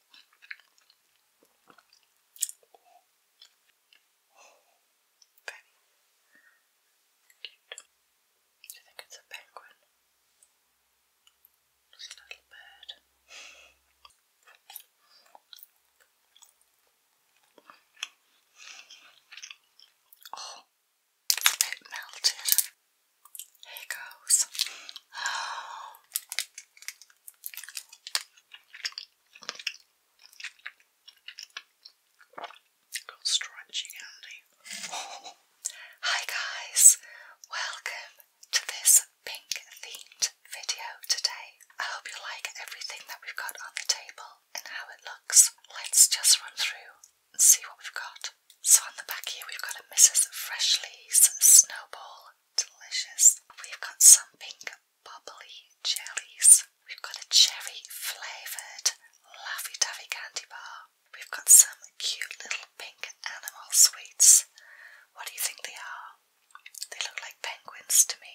Oh. Oh. Very think it's a penguin. It's a little bird. Oh, it melted. Here goes. Got stretchy candy. Hi guys, welcome to this pink themed video today. I hope you like everything that we've got on the table and how it looks. Let's just run through and see what we've got. So on the back here we've got a Mrs. Freshley's Snowball Delicious. We've got some pink bubbly jellies. We've got a cherry flavoured Laffy Taffy candy bar. We've got some cute little pink animal sweets. What do you think they are? They look like penguins to me.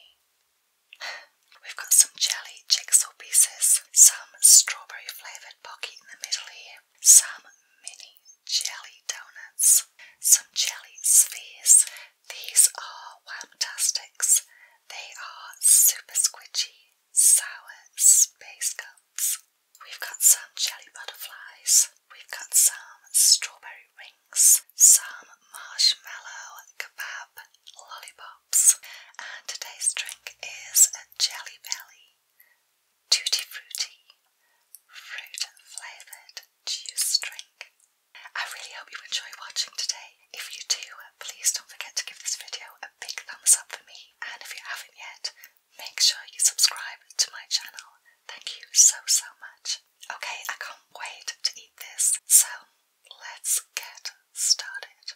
We've got some jelly jigsaw pieces, some strawberry flavoured pocky in the middle here, some mini jelly donuts, some jelly spheres. These are fantastics. They are super squidgy, sour space cups. We've got some jelly butterflies. We've got some strawberry rings, some marshmallow kebab lollipops, and today's drink is a jelly belly. Tutti Frutti fruit flavoured juice drink. I really hope you enjoy watching today. If you do, please don't forget to give this video a big thumbs up for me. And if you haven't yet, make sure you subscribe to my channel. Thank you so, so much. Okay, I can't wait to eat this. So, let's get started.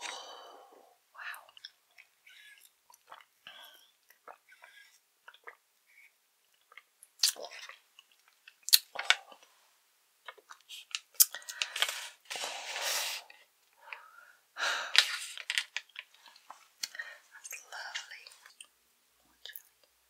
Oh, wow. That's lovely.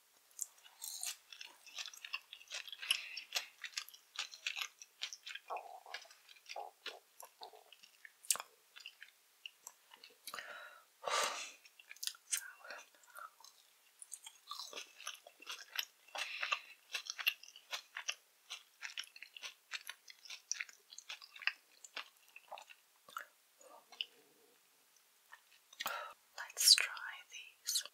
Sour. Let's try these.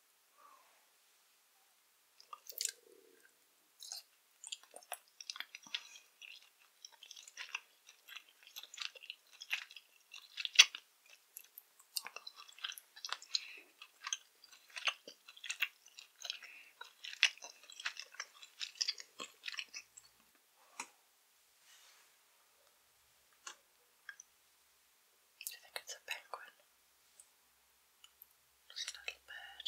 I think it's a penguin. Just a little bird.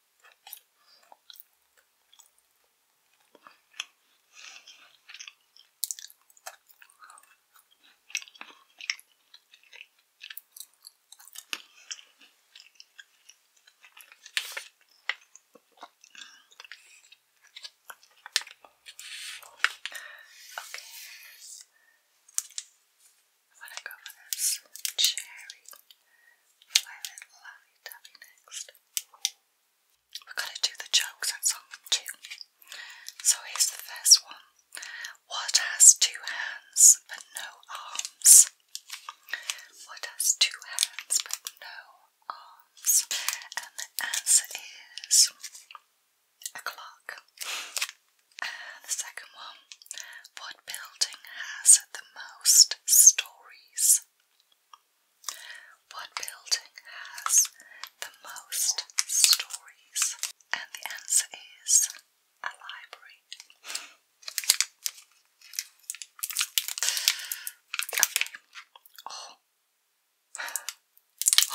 Okay. I'm go for this cherry We've got to do the jokes and song too. So here's the first one. What has two hands but no arms? What has two hands but no arms? And the answer is a clock. And the second one what building has the most stories? What building has the most stories? And the answer is a library. Okay. Oh.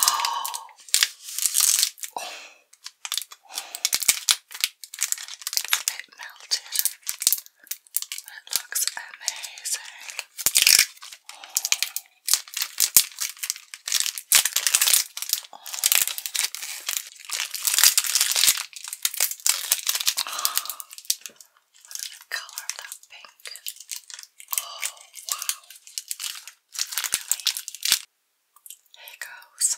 Oh. Oh. It melted. It looks amazing. Oh. Look at the color of that pink. Oh, wow. Here goes.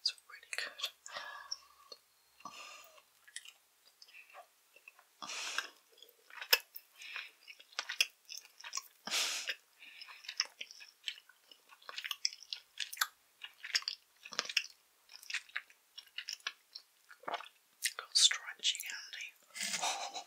It's really good. Got stretchy candy.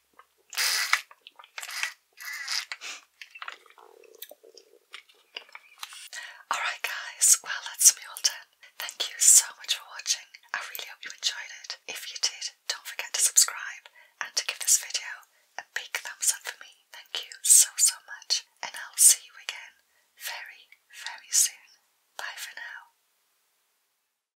Alright, guys, well, that's me all done. Thank you so much for watching. I really hope you enjoyed it. If you did, don't forget to subscribe and to give this video a big thumbs up for me. Thank you so, so much, and I'll see you again very, very soon. Bye for now.